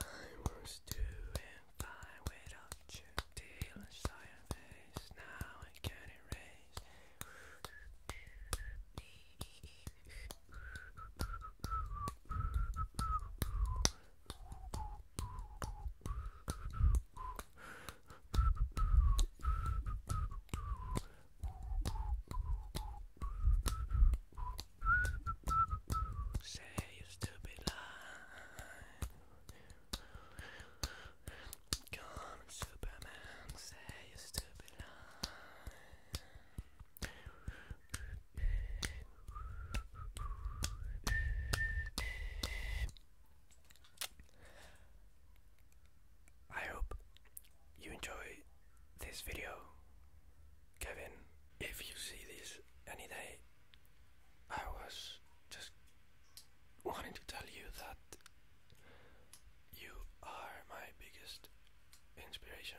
I was doing fine without you, deal face. Now I can't erase. Say you stupid lie. Come Superman, say you stupid lie. I hope you enjoy this video, Kevin. If you see this any day, I was just wanting to tell you that you are my biggest inspiration.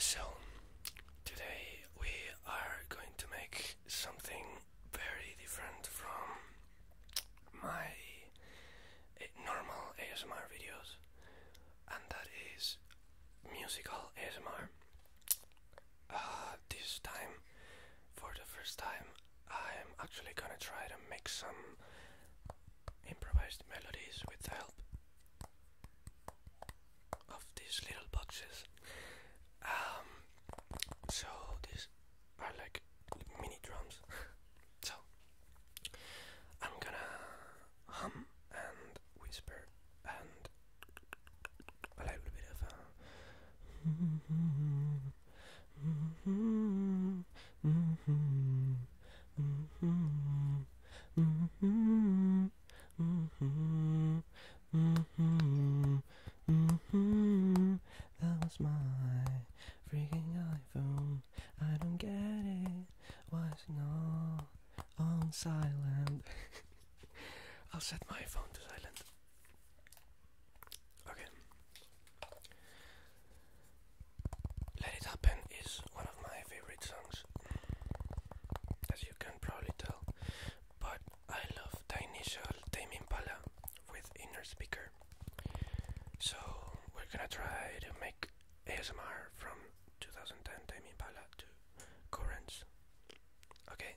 So, today we are going to make something very different from my normal ASMR videos, and that is musical ASMR. Uh, this time, for the first time, I'm actually gonna try to make some improvised melodies with the help of these little boxes. Um, so these are like mini drums. so I'm gonna hum and whisper and a little bit of a that was my freaking iPhone I don't get it. Why's it not on silent? I'll set my phone to silent. Okay. Let It Happen is one of my favorite songs, as you can probably tell. But I love the initial Tame with inner speaker. So we're gonna try to make ASMR from 2010 Tame Impala to Currents. Okay.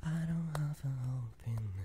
I don't have a hope in now.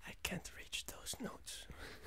I can't reach those notes.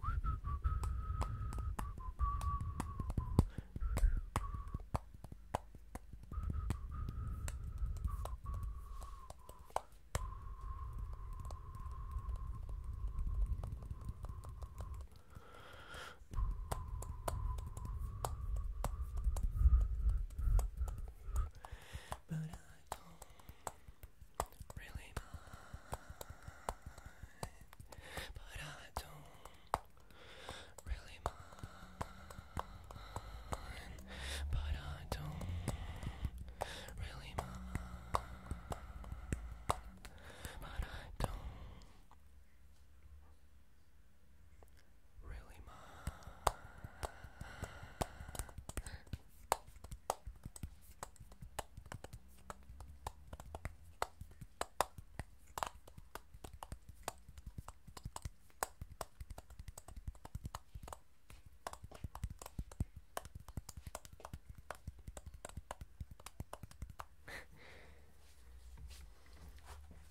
But I don't really mind, but I don't really mind, but I don't really mind, but I don't really mind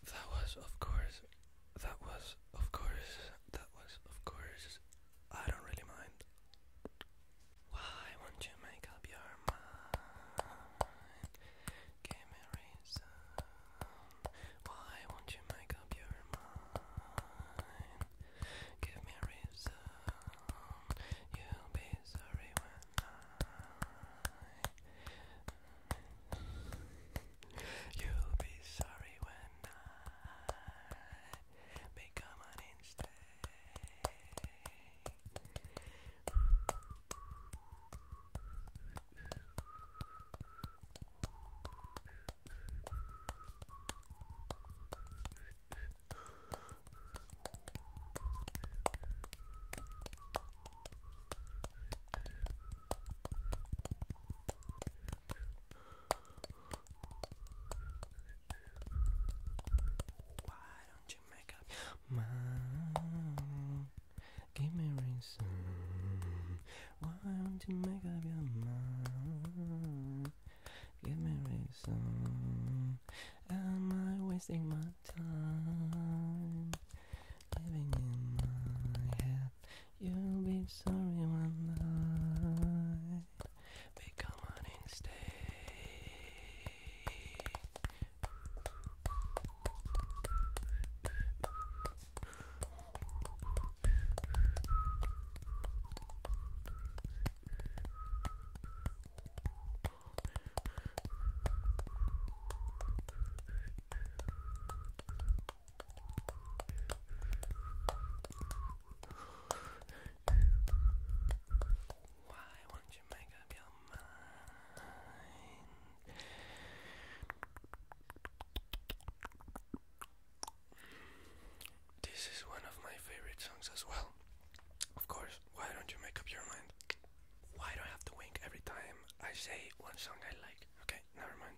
that was, of course, that was, of course, that was, of course, I don't really mind. Why won't you make up your mind? Give me a reason. Why won't you make up your mind? Give me a reason. You'll be sorry when I. You'll be sorry when I baby, come on and stay. Why don't you make up your mind? Give me reason. Why don't you make up your mind? Give me reason. Am I wasting my time? Living in my head, you'll be sorry one night. They come on and why won't you make up your mind? This is one of my favorite songs as well. Of course, why don't you make up your mind? Why do I have to wink every time I say one song I like? Okay, never mind.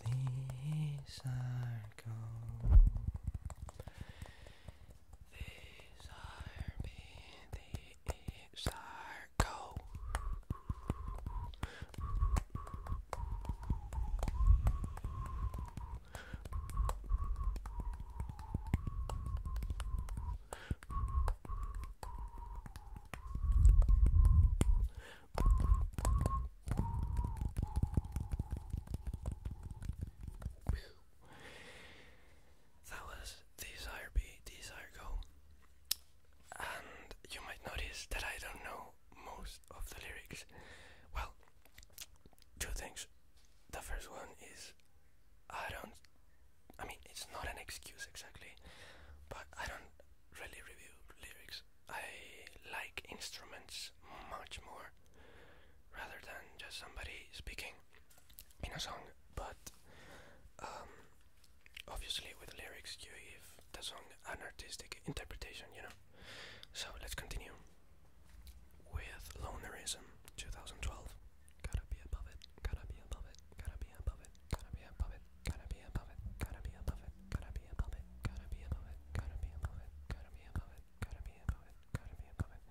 These are gold. These are me. These are gold. That was desire be desire go. And you might notice that I don't know most of the lyrics. Well, two things. The first one is I don't I mean it's not an excuse exactly, but I don't really review lyrics. I like instruments much more rather than just somebody speaking in a song, but um, obviously with lyrics you give the song an artistic interpretation, you know. So let's continue with Lonerism 2012. Gotta be above it, gotta be above it, gotta be above it, gotta be above it, gotta be above it, gotta be above it, gotta be above it, gotta be above it, gotta be above it, gotta be above it, gotta be above it, gotta be above it.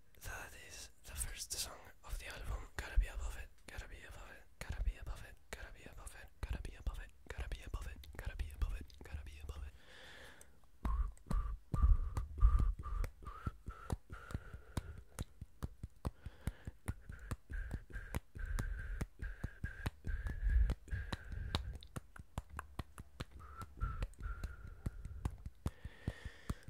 that is the first song of the album. Gotta be above it. Gotta be above it. Gotta be above it. Gotta be above it. Gotta be above it. Gotta be above it. Gotta be above it. Gotta be above it.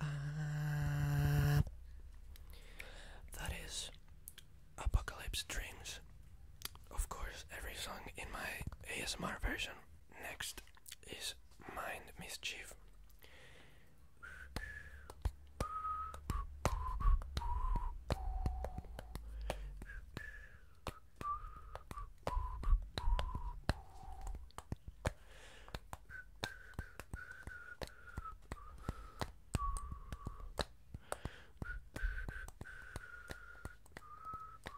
Uh, that is Apocalypse Dreams. Of course, every song in my ASMR version. Next is mind mischief.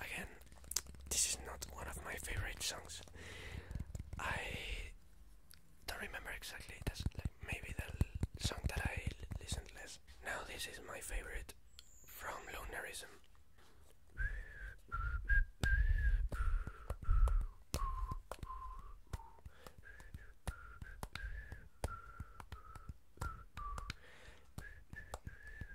Again, this is not one of my favorite songs. I don't remember exactly. That's like maybe the song that I listened less. Now this is my favorite from Lunarism.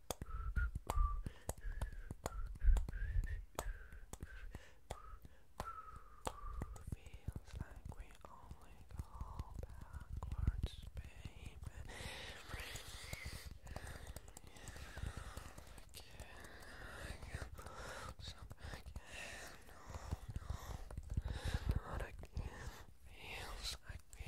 Feels like we only go backwards, baby. Again, some again, no, no, not again. Feels like we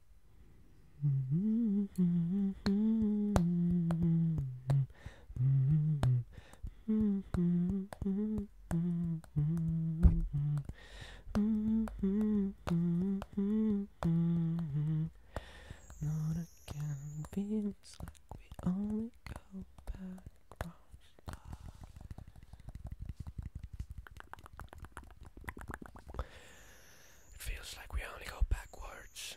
Not again, feels like we only go back round. It feels like we only go backwards.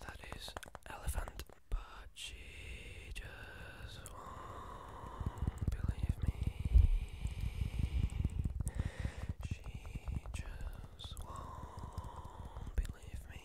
That is elephant, but she just won't believe me. She just won't believe me.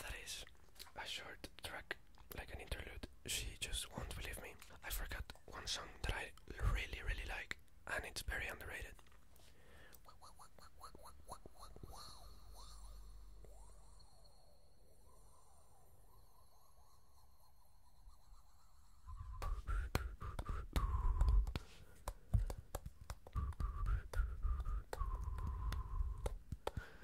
that is a short track, like an interlude. She just won't believe me. I forgot one song that I really, really like, and it's very underrated.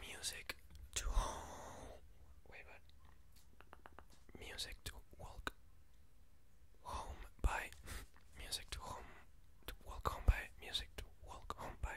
Music to home. Music to walk home by. Music to home. To walk home by. Music to walk home by.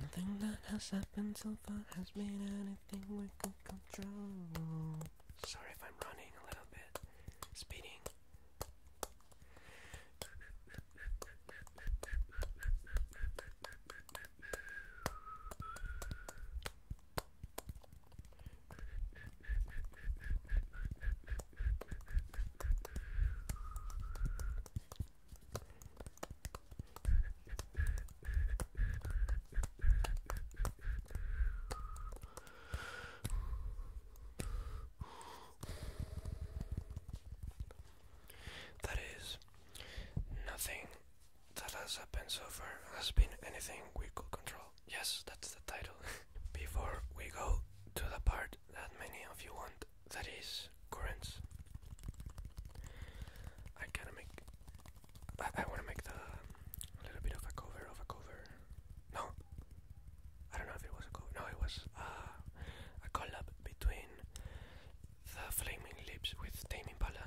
Nothing that has happened so far has made any everything we could control. Sorry if I'm running a little bit, speeding. That is, nothing that has happened so far has been anything we could control. Yes, that's the title. Before we go to the part that many of you want, that is currents. I gotta make I, want to make the um, little bit of a cover of a cover. No, I don't know if it was a cover. No, it was uh, a collab between the Flaming Lips with Tame Impala.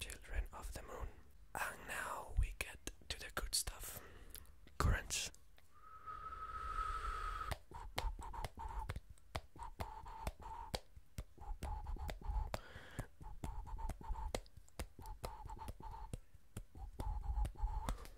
Children of the moon. And now we get to the good stuff. Currents.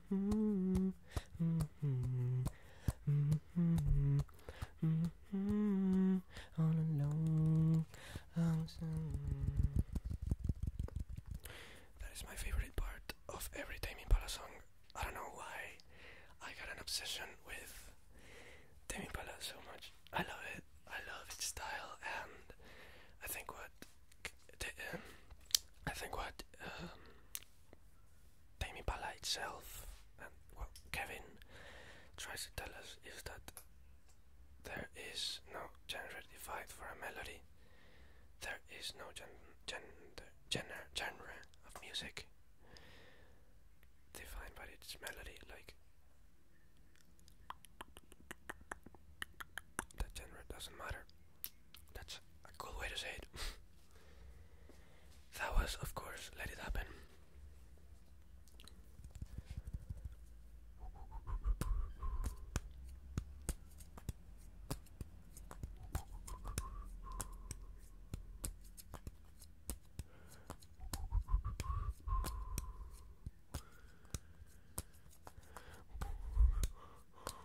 All alone. That is my favorite part of every Tame Impala song. I don't know why I got an obsession with Tame Impala so much. I love it. I love its style, and I think what um, I think what um, Tame Impala itself and what Kevin tries to tell us is that there is no genre defined for a melody. There is no genre, of music defined by its melody, like that genre doesn't matter. That's a cool way to say it. that was, of course, Let It Happen.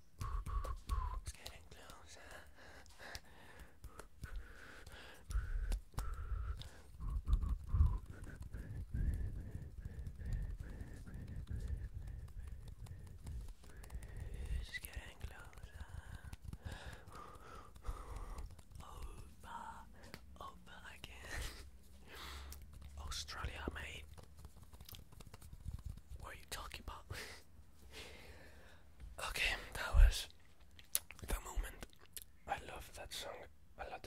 It's getting closer. It's getting closer. Over, over again. Australia, mate. What are you talking about? Okay, that was the moment. I love that song a lot.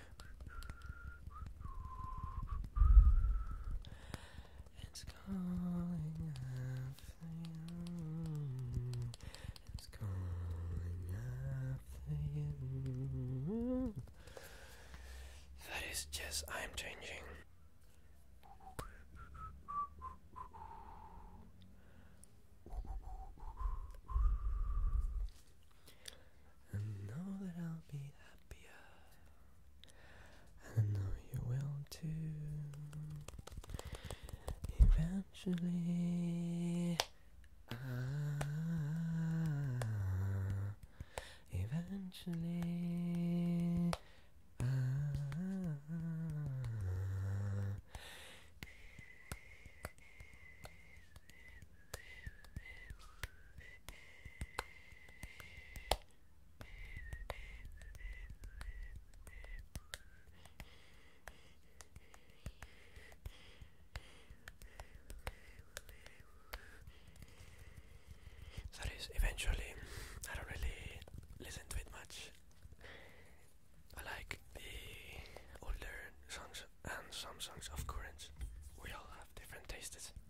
It's calling after you. It's calling after you. That is just I'm changing and know that I'll be happier. I know you will too. Eventually, ah, eventually. Ah, that is eventually I don't really listen to it much. I like the older songs and some songs of current. We all have different tastes.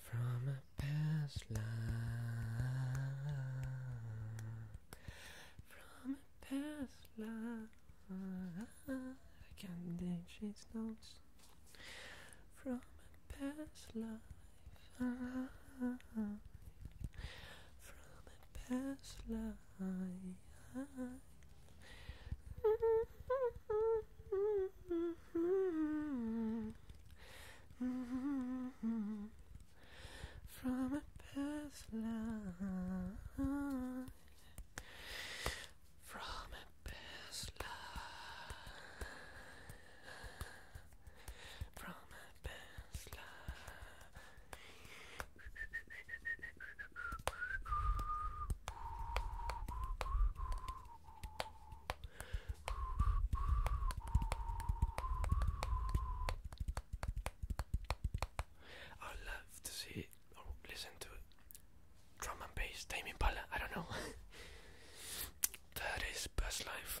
From a past life, from a past life, I can't dig these From a past life, from a past life. From a past love, From a past love, From a past love. I love to see it or listen to it. Drum and bass, Tame Impala, I don't know. that is Buzz Life.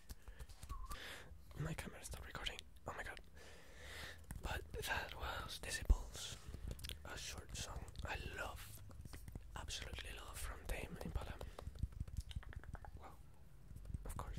My camera stopped recording. Oh my god. But that was Disciples, a short song I love, absolutely love from Tame Impala. Well, of course.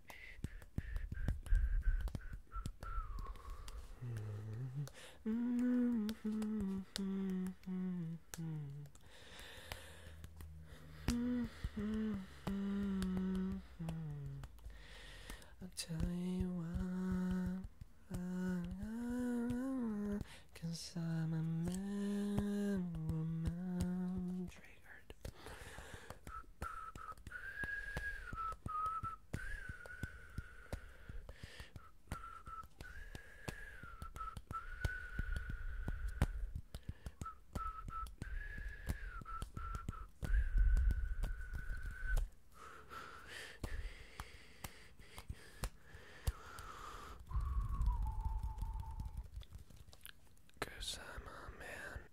I'll tell you why, cause I'm a man, woman, triggered. Cause I'm a man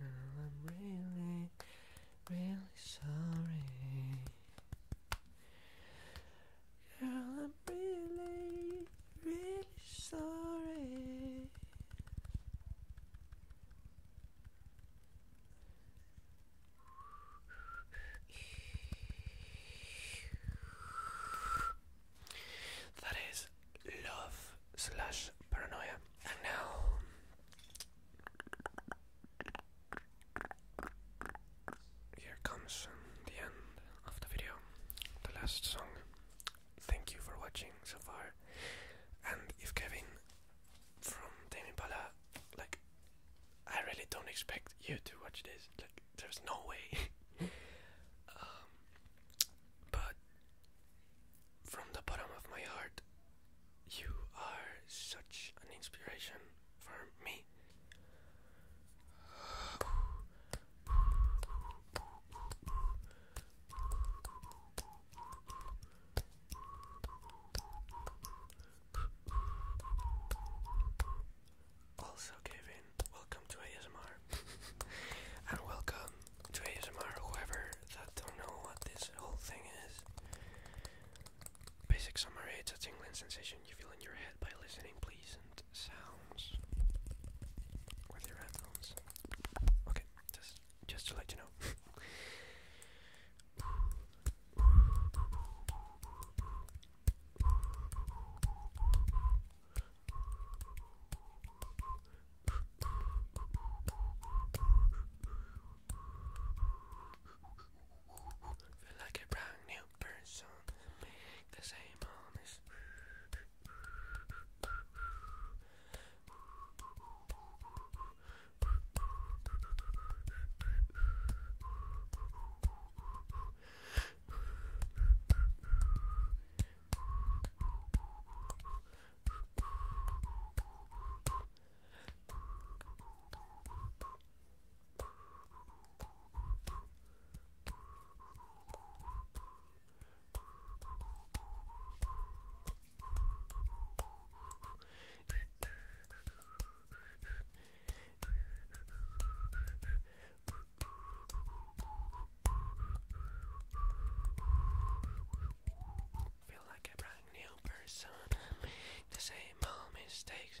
I'm really, really sorry. Girl, I'm really, really sorry. That is love slash paranoia. And now here comes the end of the video, the last song. Thank you for watching so far. And if Kevin from Tame Impala, like, I really don't expect you to watch this. Like, there's no way. um, but from the bottom of my heart, you are such an inspiration for me. Also, Kevin, welcome to ASMR. and welcome to ASMR, whoever that don't know what this whole thing is. Basic summary, it's a tingling sensation you feel in your head by listening, please, and sounds with your headphones. Okay, just just to let you know. Feel like a brand new person the same harness. Feel like a brand new person. The same old mistakes.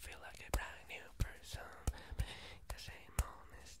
Feel like a brand new person, the same honest.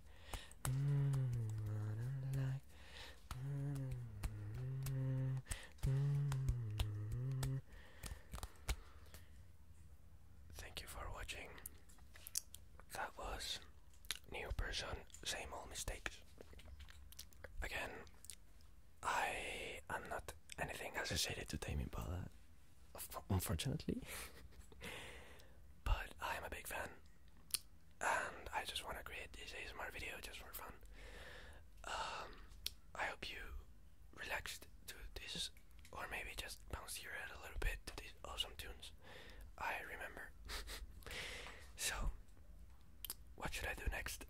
Thank you for watching. That was new person, same old mistakes. Again, I am not anything associated to Tame Impala, unfortunately. but I am a big fan and I just want to create this ASMR video just for fun. Um, I hope you relaxed to this, or maybe just bounced your head a little bit to these awesome tunes. I remember. so, what should I do next?